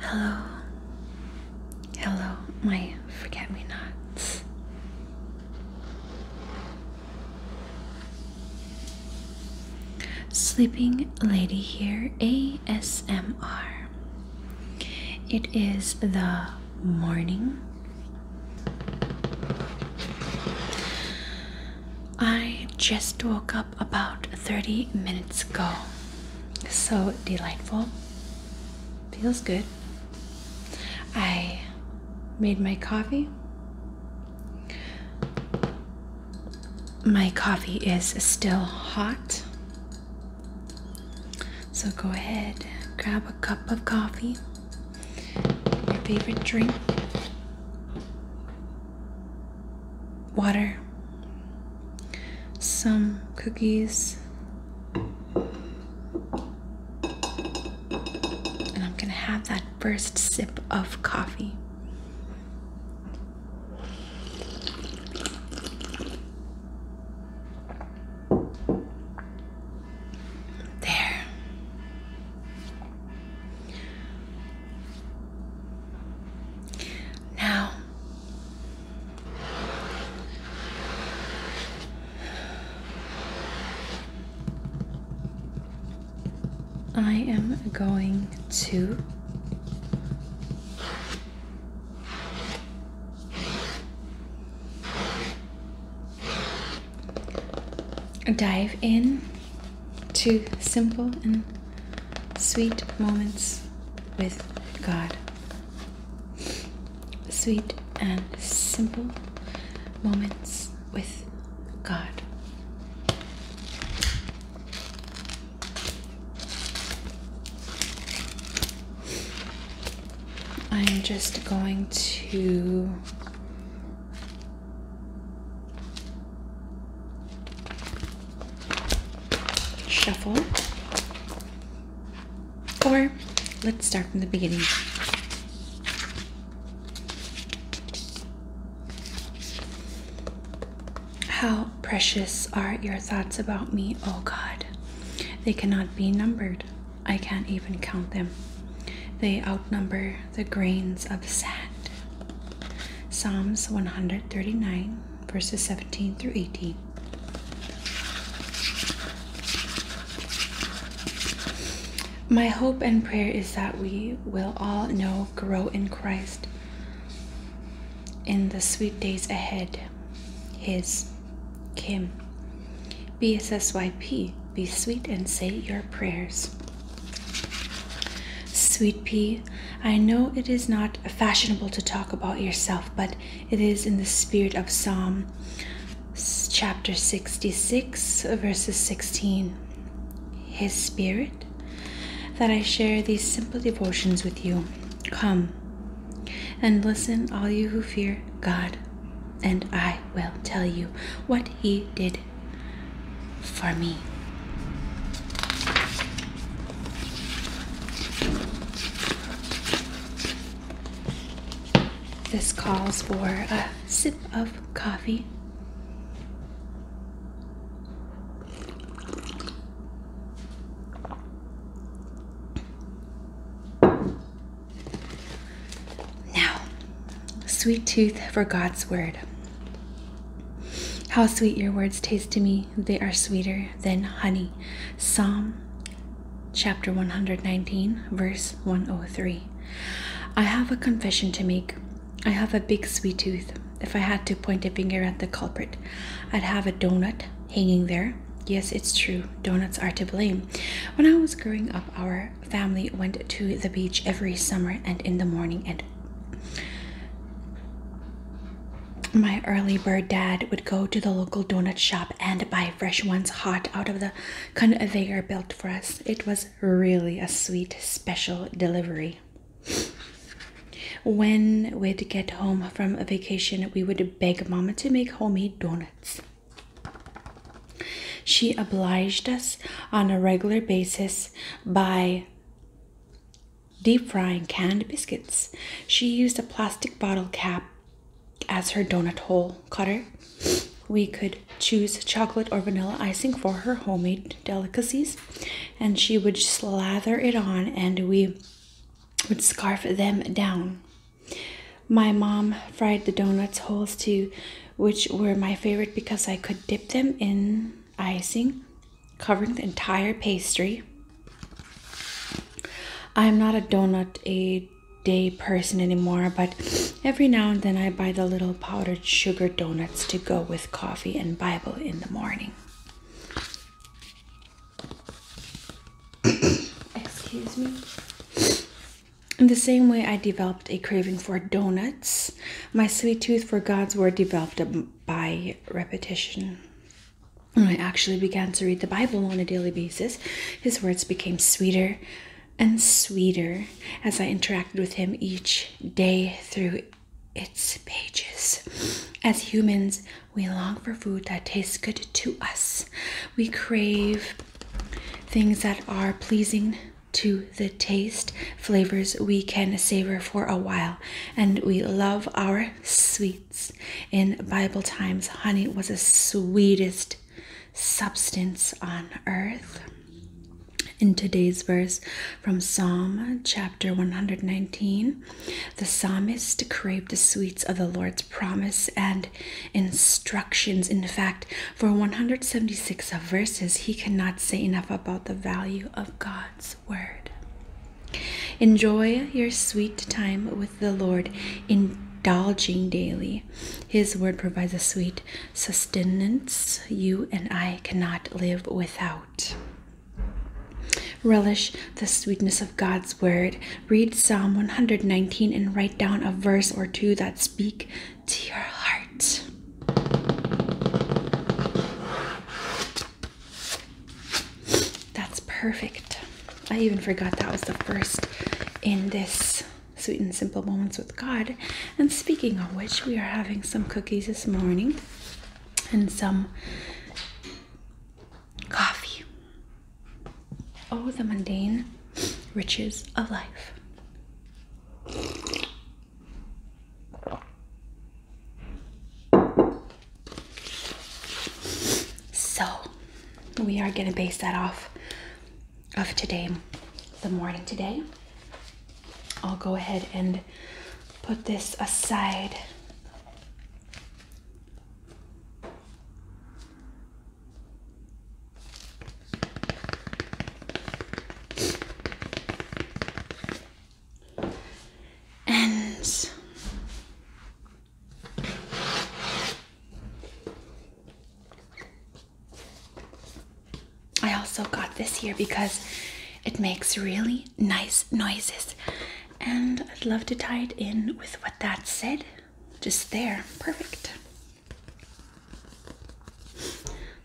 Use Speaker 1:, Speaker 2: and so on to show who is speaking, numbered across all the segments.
Speaker 1: Hello, hello, my forget me nots.
Speaker 2: Sleeping Lady here ASMR. It is the morning. I just woke up about 30 minutes ago. So delightful. Feels good. I made my coffee my coffee is still hot. So go ahead, grab a cup of coffee, your favorite drink, water, some cookies. And I'm going to have that first sip of coffee. There. Now, I am going to dive in to simple and sweet moments with God. Sweet and simple moments with God. I'm just going to shuffle. Or let's start from the beginning. How precious are your thoughts about me, O God! They cannot be numbered. I can't even count them. They outnumber the grains of sand. Psalms 139, verses 17 through 18. My hope and prayer is that we will all know, grow in Christ, in the sweet days ahead. His, Kim. BSSYP, be sweet and say your prayers. Sweet pea, I know it is not fashionable to talk about yourself, but it is in the spirit of Psalm chapter 66, verses 16. His spirit that I share these simple devotions with you. Come and listen, all you who fear God, and I will tell you what He did for me. This calls for a sip of coffee. Now, sweet tooth for God's word. How sweet your words taste to me. They are sweeter than honey. Psalm chapter 119, verse 103. I have a confession to make. I have a big sweet tooth. If I had to point a finger at the culprit, I'd have a donut hanging there. Yes, it's true. Donuts are to blame. When I was growing up, our family went to the beach every summer and in the morning and my early bird dad would go to the local donut shop and buy fresh ones hot out of the conveyor belt for us. It was really a sweet, special delivery. When we'd get home from a vacation, we would beg Mama to make homemade donuts. She obliged us on a regular basis by deep frying canned biscuits. She used a plastic bottle cap as her donut hole cutter. We could choose chocolate or vanilla icing for her homemade delicacies and she would slather it on and we would scarf them down. My mom fried the donuts holes too, which were my favorite because I could dip them in icing, covering the entire pastry. I'm not a donut a day person anymore, but every now and then I buy the little powdered sugar donuts to go with coffee and Bible in the morning. Excuse me. In the same way I developed a craving for donuts, my sweet tooth for God's word developed by repetition. When I actually began to read the Bible on a daily basis, his words became sweeter and sweeter as I interacted with him each day through its pages. As humans, we long for food that tastes good to us. We crave things that are pleasing to the taste, flavors we can savor for a while, and we love our sweets. In Bible times, honey was the sweetest substance on earth. In today's verse from Psalm chapter 119, the psalmist craved the sweets of the Lord's promise and instructions. In fact, for 176 of verses, he cannot say enough about the value of God's word. Enjoy your sweet time with the Lord, indulging daily. His word provides a sweet sustenance you and I cannot live without. Relish the sweetness of God's word. Read Psalm 119 and write down a verse or two that speak to your heart. That's perfect. I even forgot that was the first in this Sweet and Simple Moments with God. And speaking of which, we are having some cookies this morning and some Coffee. Oh, the mundane riches of life. So, we are going to base that off of today, the morning today. I'll go ahead and put this aside.
Speaker 1: And
Speaker 2: I also got this here because it makes really nice noises. And I'd love to tie it in with what that said. Just there. Perfect.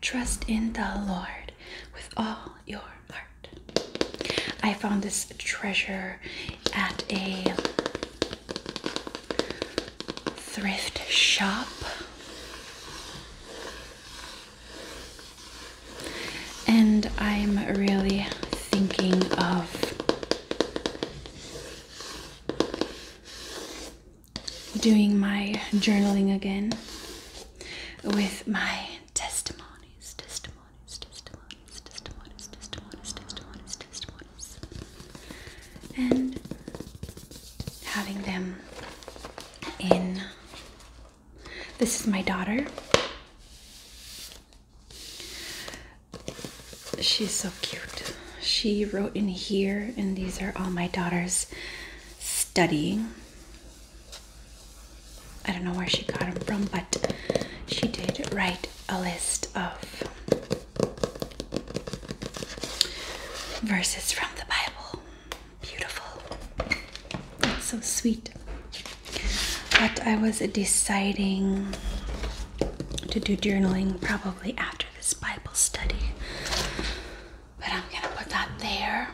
Speaker 2: Trust in the Lord with all your heart. I found this treasure at a thrift shop. And I'm really thinking of doing my journaling again with my testimonies, testimonies, testimonies, testimonies, testimonies, testimonies, testimonies, and having them in this is my daughter. She's so cute. She wrote in here, and these are all my daughter's studying. I don't know where she got them from, but she did write a list of verses from the Bible. Beautiful. That's so sweet. But I was deciding to do journaling probably after this Bible study. But I'm gonna put that there.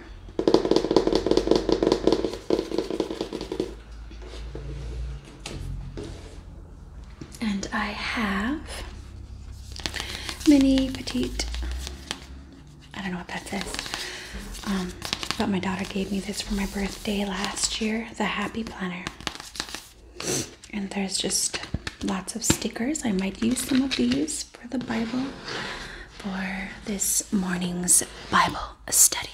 Speaker 2: And I have mini petite. I don't know what that says. Um, but my daughter gave me this for my birthday last year, the Happy Planner. And there's just lots of stickers. I might use some of these for the Bible, for this morning's Bible study.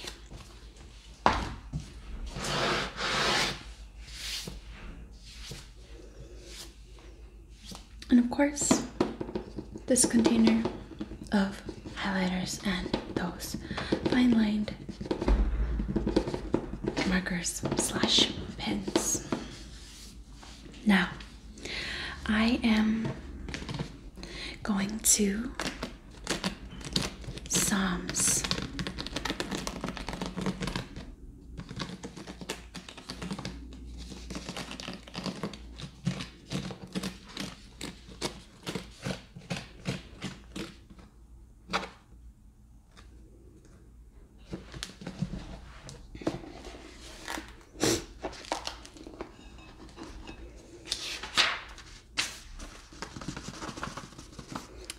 Speaker 2: And of course, this container of highlighters and those fine lined markers slash pens. Now, I am going to Psalms.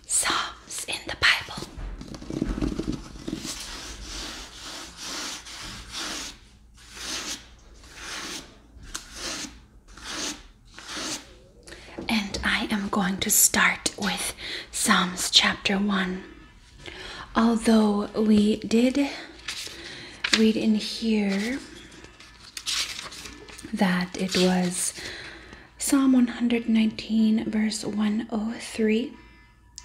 Speaker 1: Psalms in the Bible.
Speaker 2: And I am going to start with Psalms chapter 1. Although we did read in here that it was Psalm 119, verse 103,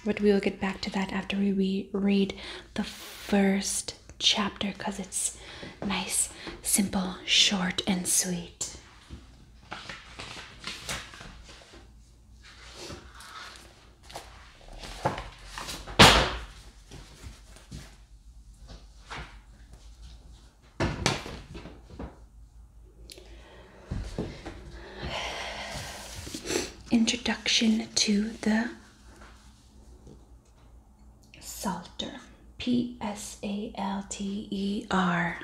Speaker 2: but we will get back to that after we re read the first chapter because it's nice, simple, short, and sweet. Introduction to the Salter. P S A L T E R.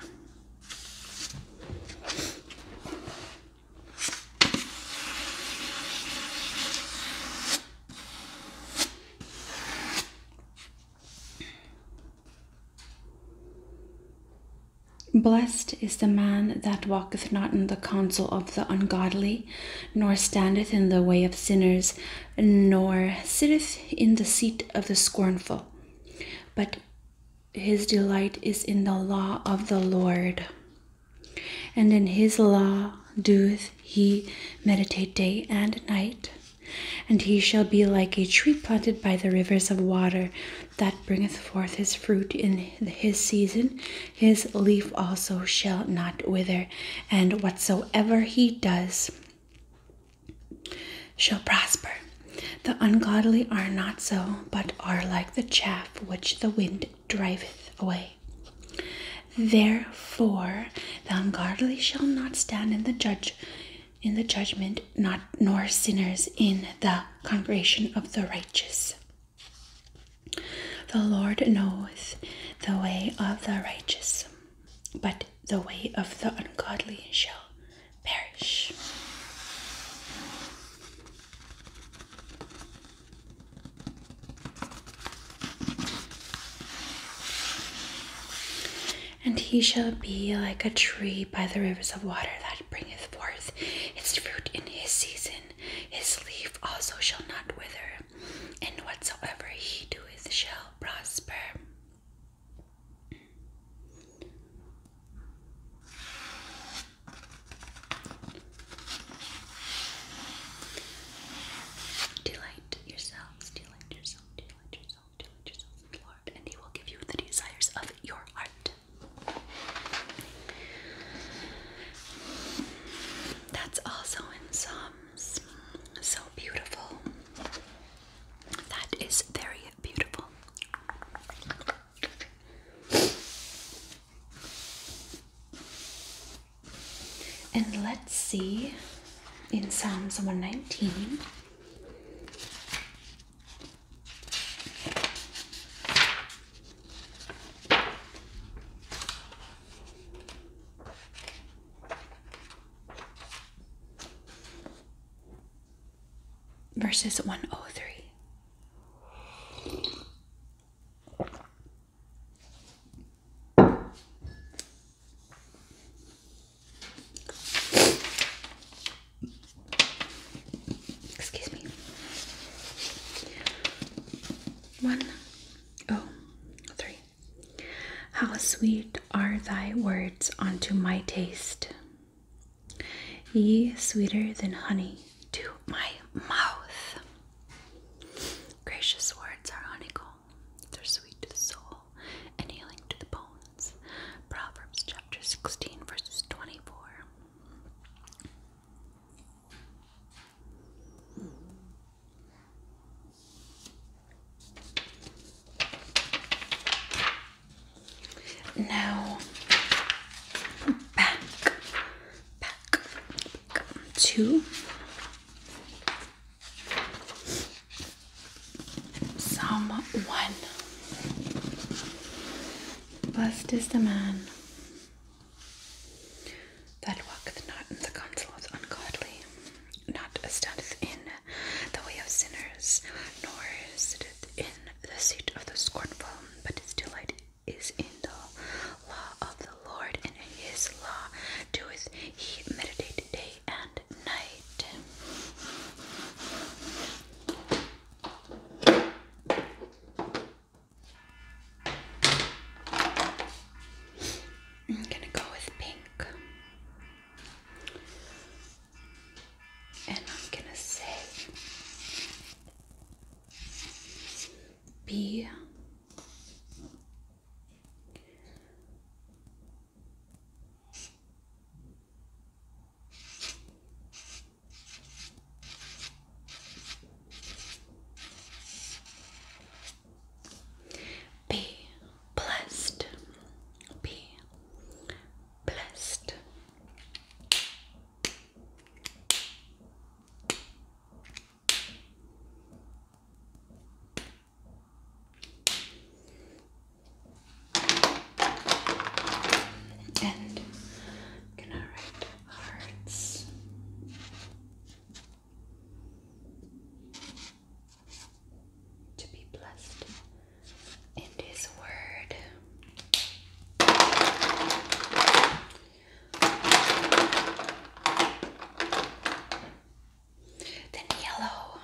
Speaker 2: Blessed is the man that walketh not in the counsel of the ungodly, nor standeth in the way of sinners, nor sitteth in the seat of the scornful, but his delight is in the law of the Lord. And in his law doeth he meditate day and night. And he shall be like a tree planted by the rivers of water, that bringeth forth his fruit in his season. His leaf also shall not wither, and whatsoever he does shall prosper. The ungodly are not so, but are like the chaff which the wind driveth away. Therefore the ungodly shall not stand in the judge in the judgment, not nor sinners in the congregation of the righteous. The Lord knoweth the way of the righteous, but the way of the ungodly shall perish. And he shall be like a tree by the rivers of water that bringeth
Speaker 1: forth its fruit in his season. His leaf also shall not wither, and whatsoever he doeth shall prosper. Delight yourselves, delight yourself, delight yourself, delight yourself, Lord, and He will give you the desires of your heart. That's also in Psalm so beautiful. That is very beautiful.
Speaker 2: And let's see in Psalms 119.
Speaker 1: Verses 103.
Speaker 2: Excuse me. One, oh, three. How sweet are thy words unto my taste, ye sweeter than honey to my mouth.
Speaker 1: Gracious words are honeycomb, they're sweet to the soul and healing to the bones. Proverbs chapter 16, verses 24.
Speaker 2: Now back, back, to Psalm one. Blessed is the man that walketh not
Speaker 1: in the counsel of the ungodly, not standeth in the way of sinners, nor sitteth in the seat of the scornful, but his delight is in the law of the Lord, and in his law doeth he meditate day and night.
Speaker 2: I'm gonna go with pink. And I'm gonna say B be blessed. Be blessed.
Speaker 1: And gonna write hearts to be blessed in His Word. Then, yellow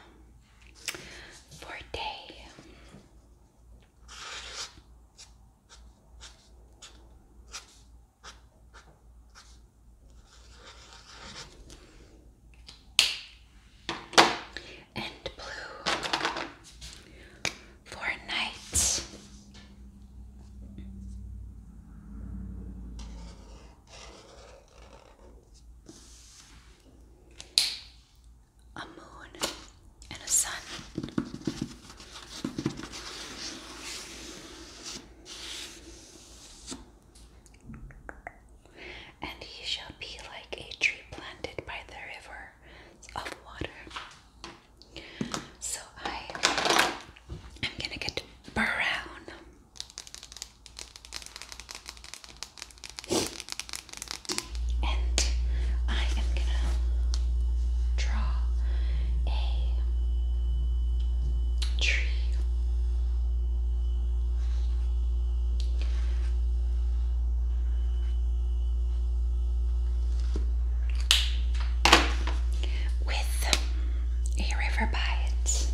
Speaker 1: for day and blue for night. A moon and a sun. And he shall be like a tree planted by the river of water. So I am gonna get brown. And I am gonna draw a tree with a river by it.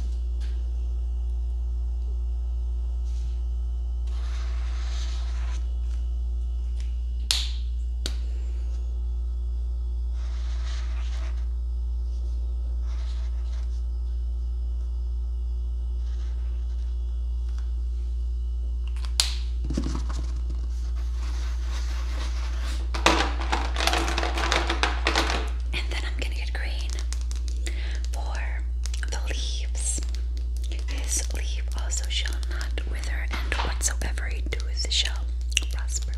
Speaker 1: And then I'm gonna get green for the leaves. His leaf also shall not wither, and whatsoever he doeth shall prosper.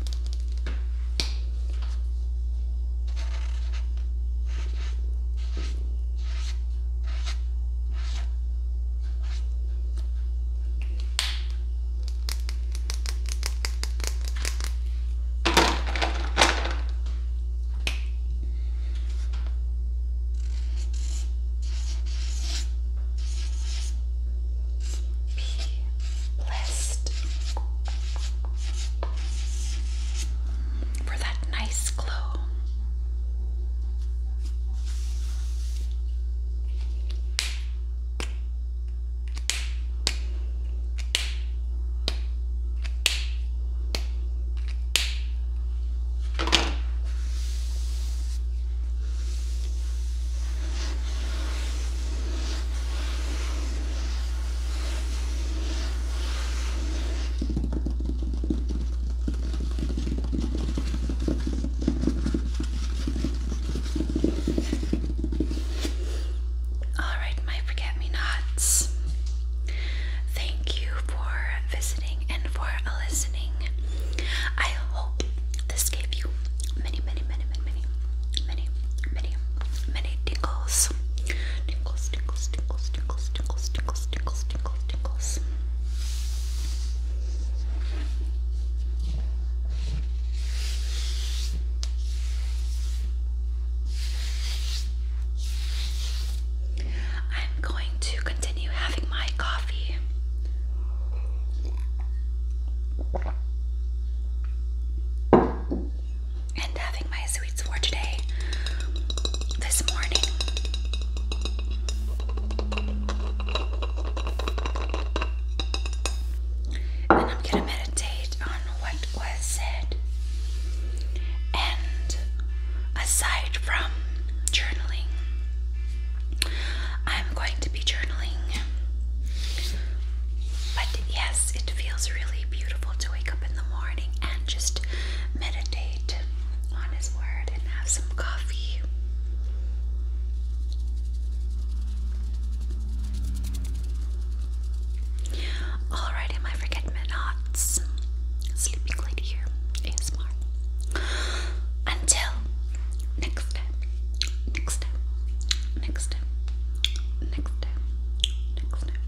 Speaker 1: Be blessed for that nice glow. All right, my forget me nots. Thank you for visiting and for listening. I hope this gave you many, many, many, many, many, many, many, many tingles. Tingles, tingles, tingles, tingles, tingles, tingles, tingles, tingles, tingles. I'm going to continue having my coffee and having my sweets for today this morning. And I'm gonna meditate on what was said. And aside from journaling, I'm going to be journaling. But yes, it feels really beautiful to wake up in the morning morning and just meditate on His Word and have some coffee. Alrighty, my forget Sleeping lady here, ASMR. Until next time, next time, next time, next time, next time.